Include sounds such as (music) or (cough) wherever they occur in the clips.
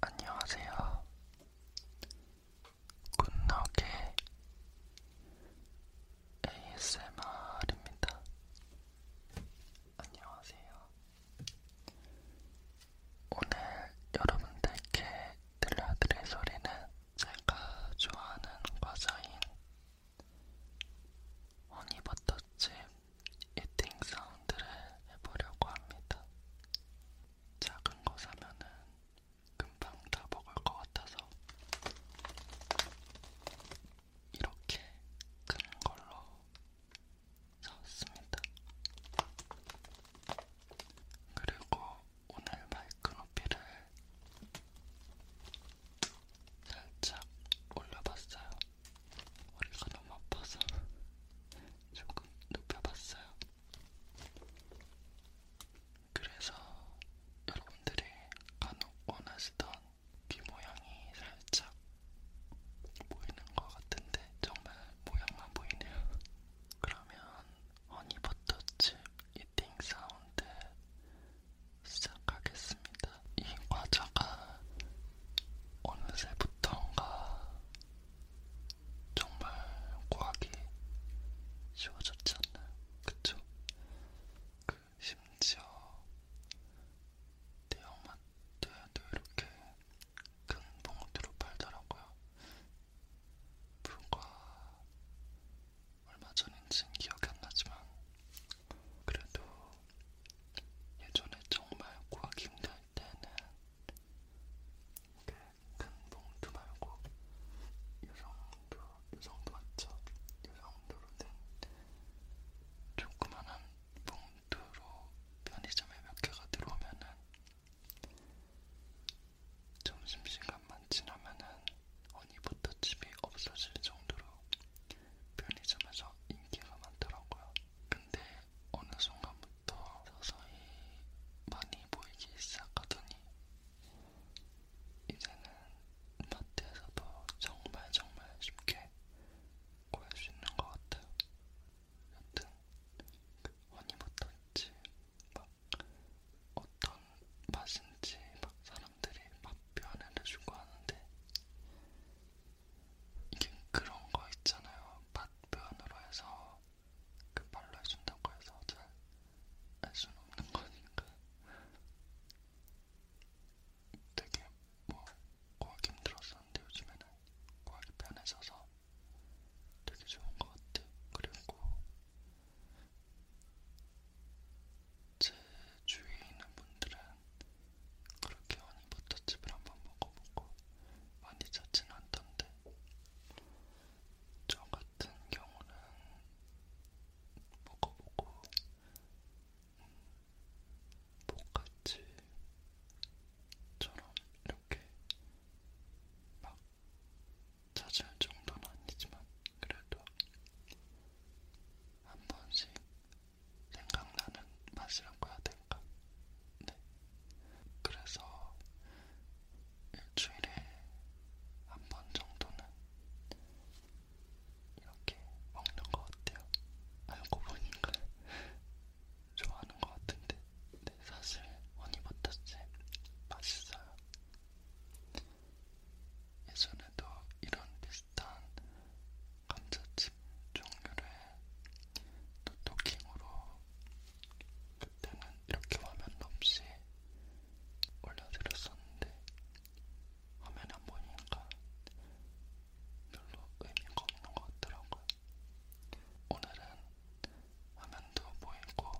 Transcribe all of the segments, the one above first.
안녕하세요. 굿나게 ASMR입니다. 안녕하세요. 오늘 여러분들께 들려드릴 소리는 제가 좋아하는 과자인 허니버터칩 이팅 사운드를 해보려고 합니다. 작은 거 사면은 금방 다 먹을 것 같아서 이렇게 큰 걸로 사왔습니다. 그리고 오늘 마이크로피를 살짝 올려봤어요. 머리가 너무 아파서 조금 눕혀봤어요. 그래서 여러분들이 간혹 원하시던 귀 모양이 살짝 보이는 것 같은데 정말 모양만 보이네요. 그러면 허니버터칩 이팅 사운드 시작하겠습니다. 이 과자가 어느새부턴가 정말 구하기 쉬워졌지 않나요? 그쵸? 그 심지어 대형마트에도 이렇게 큰 봉투로 팔더라고요. 불과 얼마 전인지는 기억이 안 나지만 그래도 예전에 정말 구하기 힘들 때는 이렇게 큰 봉투 말고 요정도, 요정도 맞죠? 요정도로 된 조그만한 봉투로 편의점에 몇 개가 들어오면은 점심시간만 지나면은 어니버터 집이 없어질 정도로 편의점에서 인기가 많더라고요. 근데 어느 순간부터 서서히 많이 보이기 시작하더니 이제는 마트에서도 정말 정말 쉽게 구할 수 있는 것 같아요. 여튼 허니버터치 그 막 어떤 맛인지 막 사람들이 맛 표현을 해주고 하는데 이게 그런 거 있잖아요. 맛 표현으로 해서 그 말로 해준다고 해서 잘 알 수는 없는 거니까 되게 뭐 구하기 힘들었었는데 요즘에는 구하기 편해져서 되게 좋은 것 같아요. 그리고 제 주위에 있는 분들은 그렇게 허니버터칩을 한번 먹어보고 많이 찾지는 않던데 저 같은 경우는 먹어보고 똑같이처럼 음, 이렇게 막 찾을 정도는 아니지만 그래도 한 번씩 생각나는 맛이라고 해야 될까? 네. 그래서 일주일에 한 번 정도는 이렇게 먹는 것 같아요. 알고 보니까 좋아하는 것 같은데, 네, 사실 허니버터칩 맛있어요. 예전에도 이런 비슷한 감자칩 종류를 토토킹으로 그때는 이렇게 화면 없이 올려드렸었는데 화면 안 보니까 별로 의미가 없는 것 같더라고요. 오늘은 화면도 보이고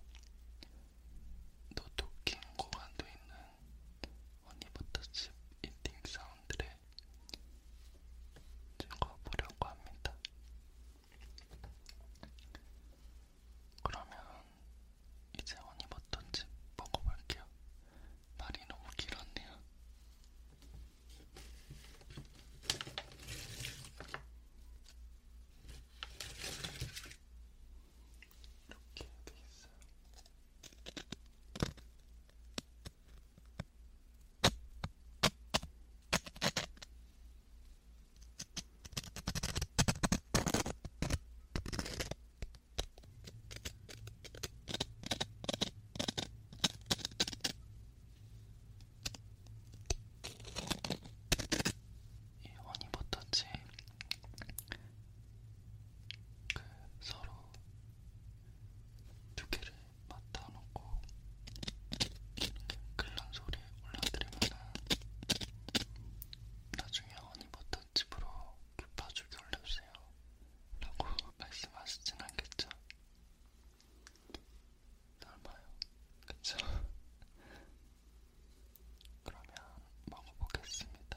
노트킹 구간도 있는 허니버터칩 이팅 사운드를 찍어보려고 합니다. 그러면 이제 허니버터칩 먹어볼게요. 말이 너무 길었네요. 이렇게 돼 있어요. 이 허니버터칩 서로 두 개를 맞다 놓고 그런 소리 올려드리면은 나중에 허니버터 집으로 파주기 올려주세요. 라고 (laughs) 말씀하시진 않겠죠? 설마요? 그쵸? (laughs) 그러면 먹어보겠습니다.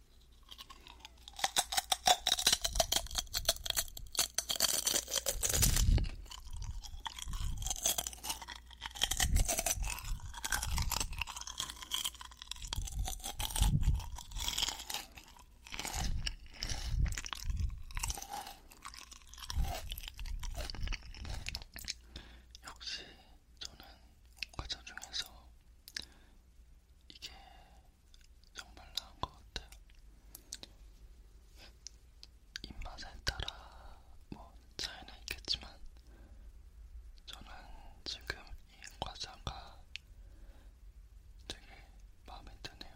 역시 저는 과자 중에서 이게 정말 나은 것 같아요. 입맛에 따라 뭐 차이는 있겠지만 저는 지금 이 과자가 되게 마음에 드네요.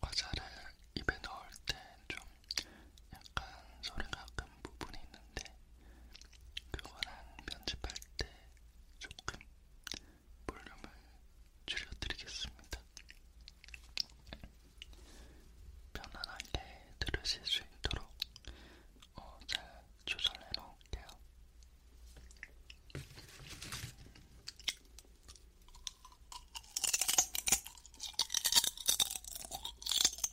과자를 입에 넣을 땐좀 약간 소리가 큰 부분이 있는데 그거는 편집할 때 조금 볼륨을 줄여드리겠습니다. 편안하게 들으실 수 있도록 어, 잘 조절해 놓을게요.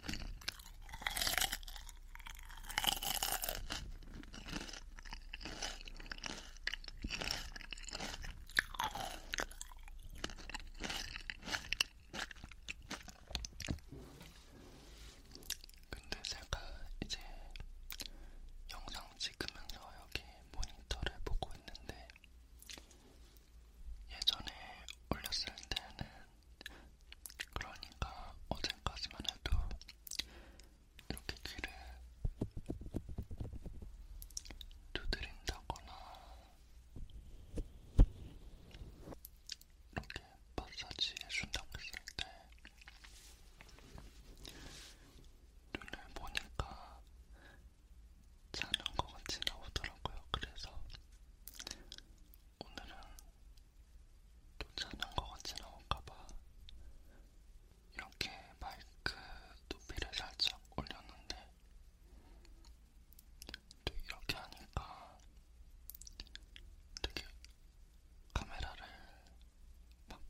근데 제가 이제 영상 찍으면서 여기 모니터를 보고 있는데 예전에 올렸을 때는 그러니까 어제까지만 해도 이렇게 귀를 두드린다거나 이렇게 마사지 해준다고 했을 때 눈을 보니까 자는 것 같이 나오더라고요. 그래서 오늘은 또 자는 것 같이 나올까봐 이렇게 마이크 높이를 살짝 올렸는데 또 이렇게 하니까 되게 카메라를 막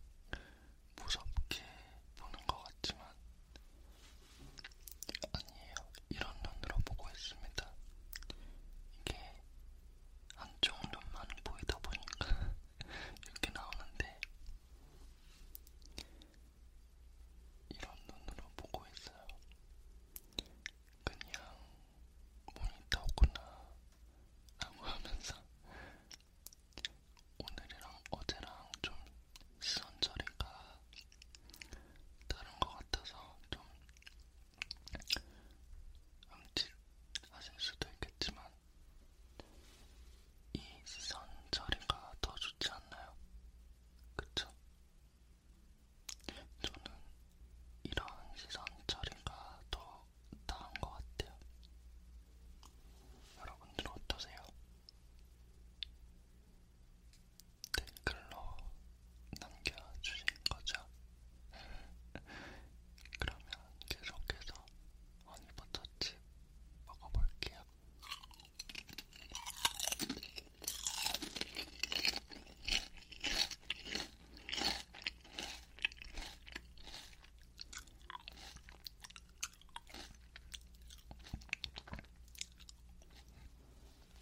무섭게 보는 것 같지만 아니에요. 이런 눈으로 보고 있습니다. 이게 한쪽 눈만 보이다 보니까 (laughs) 이렇게 나오는데 이런 눈으로 보고 있어요. 그냥 모니터구나 라고 (laughs) 하면서 오늘이랑 어제랑 좀 시선 처리가 다른 것 같아서 좀 암찔하실 수도 있겠지만 이 시선 처리가 더 좋지 않나요? 그쵸? 저는 이런 시선 처리가 더 나은 것 같아요. 여러분들 어떠세요? 댓글로 남겨주신 거죠? (laughs) 그러면 계속해서 허니버터칩 먹어볼게요.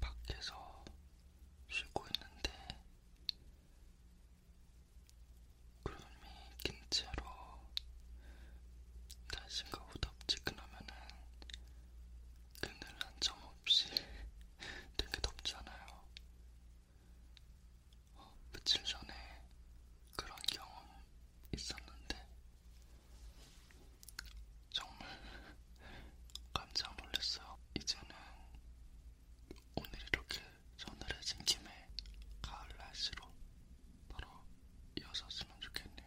밖에서 쉬고 있는데 구름이 낀 채로 날씨가 오다 덥지근하면은 그늘 한 점 없이 되게 덥잖아요. 어, 며칠 전에 그런 경험 있었는데 정말 깜짝 놀랐어요. 이제는 오늘 이렇게 서늘해진 김에 가을 날씨로 바로 이어서 쓰면 좋겠네요.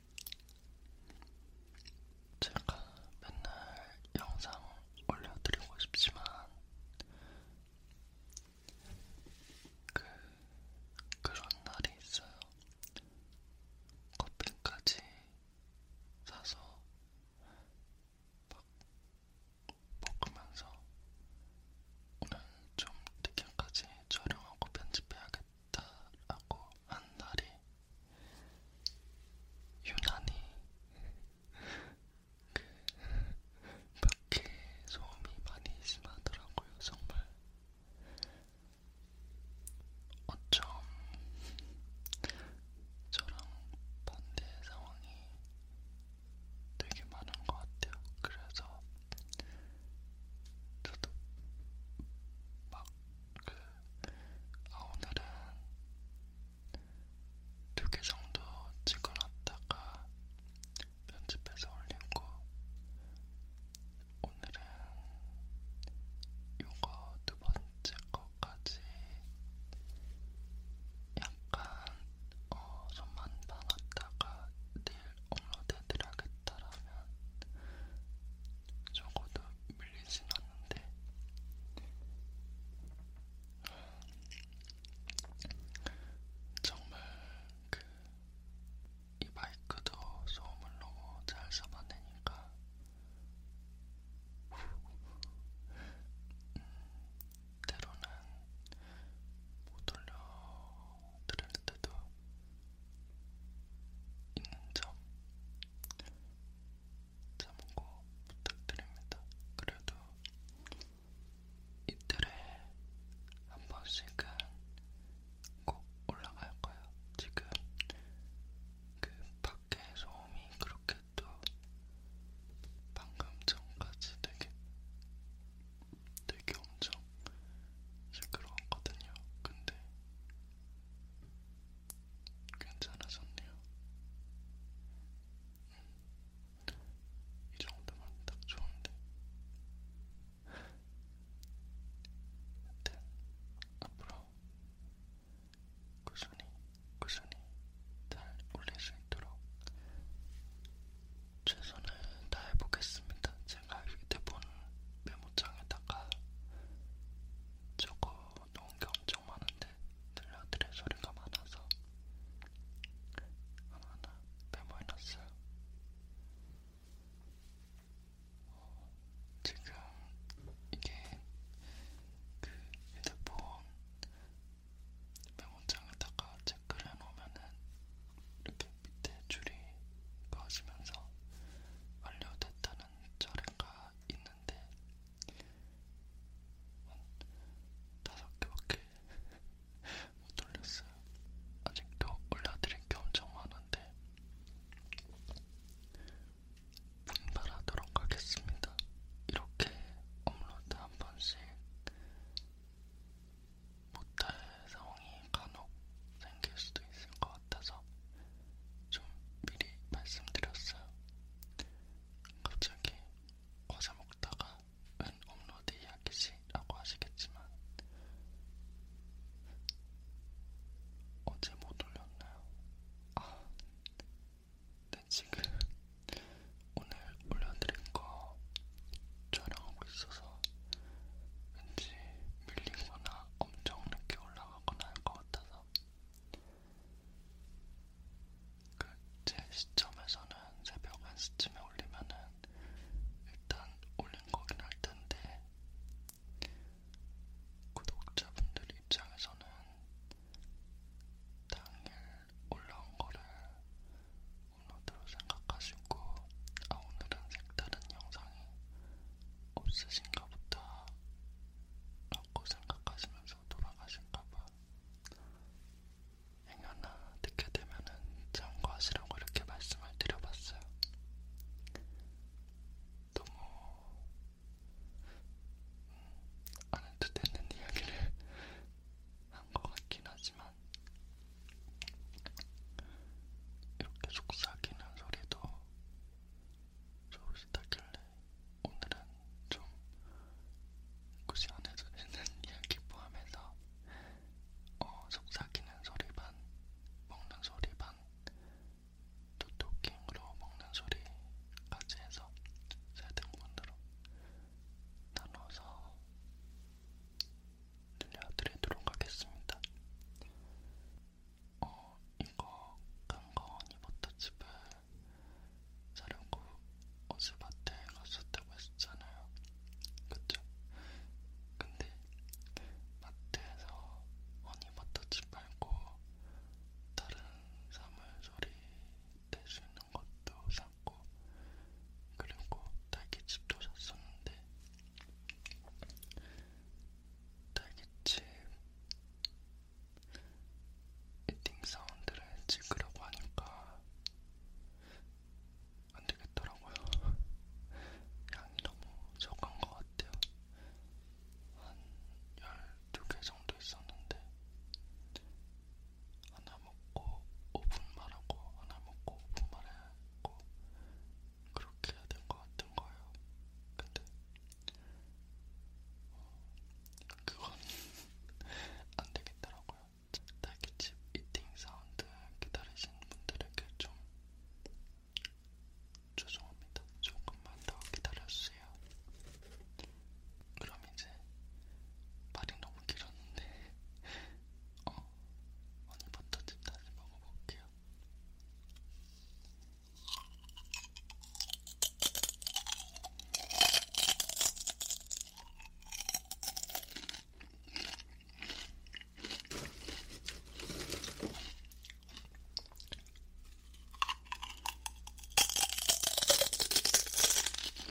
제가 맨날 영상 올려드리고 싶지만 그 그런 날이 있어요. 커피까지 사서 막 먹으면서 오늘 좀 늦게까지 촬영하고 편집해야겠다. 좋겠다라고 한 날이 유난히 그 밖에 소음이 많이 심하더라고요. 정말 어쩜 저랑 반대 상황이 되게 많은 것 같아요. 그래서 저도 막그아 오늘은 두 개 정도 찍어놨다가 편집해서 올리고 오늘은 요거 두 번째 거까지 약간 어, 손만 담았다가 네 업로드해드려야겠다라면 적어도 밀리진 않는데 정말 그 이 마이크도 소음을 너무 잘 잡아내니까 음, 때로는 못 올려드릴 때도 있는 점 참고 부탁드립니다. 그래도 이틀에 한 번씩은 꼭 올라갈 거예요. 지금 그 밖에 소음이 그렇게 또 방금 전까지 되게 되게 엄청 시끄러웠거든요. 근데 괜찮아졌네요. 음, 이 정도면 딱 좋은데. 하여튼 네, 앞으로 꾸준히 꾸준히 잘 올릴 수 있도록 최선을 다해보겠습니다. 제가 휴대폰 메모장에다가 적어놓은 게 엄청 많은데 들려드릴 소리가 많아서 하나하나 메모해놨어요. 어, 지금 이게 그 휴대폰 메모장에다가 체크를 해놓으면은 이렇게 밑에 줄이 꺼지면서 완료됐다는 자료가 있는데 한 다섯 개밖에 (laughs) 못 올렸어요. 아직도 올려드릴 게 엄청 많은데 분발하도록 하겠습니다. 이렇게 업로드 한 번씩 못할 상황이 간혹 생길 수도 있을 것 같아서 좀 미리 말씀드렸어요. 갑자기 과자 먹다가 웬 업로드 이야기지라고 하시겠지만 어제 못 올렸나요? 아, 네 지금 오늘 올려드린 거 촬영하고 있어서 왠지 밀리거나 엄청 늦게 올라가거나 할 것 같아서 그제 시점에서는 새벽 1시쯤에 올리면은 일단 올린 거긴 할 텐데 구독자분들 입장에서는 당일 올라온 거를 업로드로 생각하시고 아 오늘은 색다른 영상이 없으신가 보다 라고 생각하시면서 돌아가신가봐 행여나 듣게 되면은 참고하시라고 이렇게 말씀을 드려봤어요 너무 음, 안 해도 되는 이야기를 (laughs) 한 것 같긴 하지만 하지만 이렇게 속삭이는 소리도 좋으시다길래 오늘은 좀 굳이 안 해도 되는 (laughs) 이야기 포함해서 어, 속삭이는 소리 반, 먹는 소리 반, 토토킹으로 먹는 소리까지 해서 세 등분으로 나눠서 들려드리도록 하겠습니다. 어, 이거 강건이 버터집을 자려고 어제 마트에 갔었다고 했었잖아요. 그쵸? 근데 마트에서 허니버터칩 말고 다른 사물조리 될 수 있는 것도 사 샀고 그리고 딸기칩도 샀었는데 딸기칩 이팅 사운드를 찍으려고 하니까 안 되겠더라고요. 양이 너무 적은 것 같아요. 한 12개 정도 있었는데, 하나 먹고 5분만 하고 하나 먹고 5분만 하고 그렇게 해야 될것 같은 거예요. 근데 어, 그건 (laughs) 안 되겠더라고요. 딸기집 이팅 사운드 기다리신 분들에게 좀 죄송합니다. 조금만 더 기다려주세요. 그럼 이제 말이 너무 길었는데 어, 오늘부터 다시 먹어볼게요.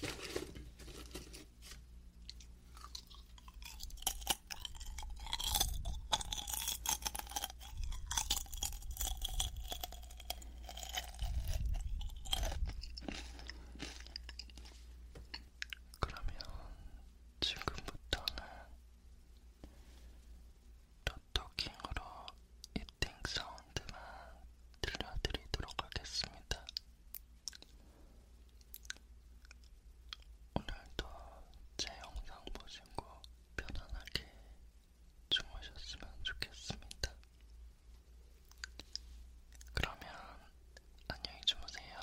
그러면 지금부터는 더 토킹으로 이팅 사운드만 들려드리도록 하겠습니다. 오늘도 제 영상 보시고 편안하게 주무셨으면 좋겠습니다. 그러면 안녕히 주무세요.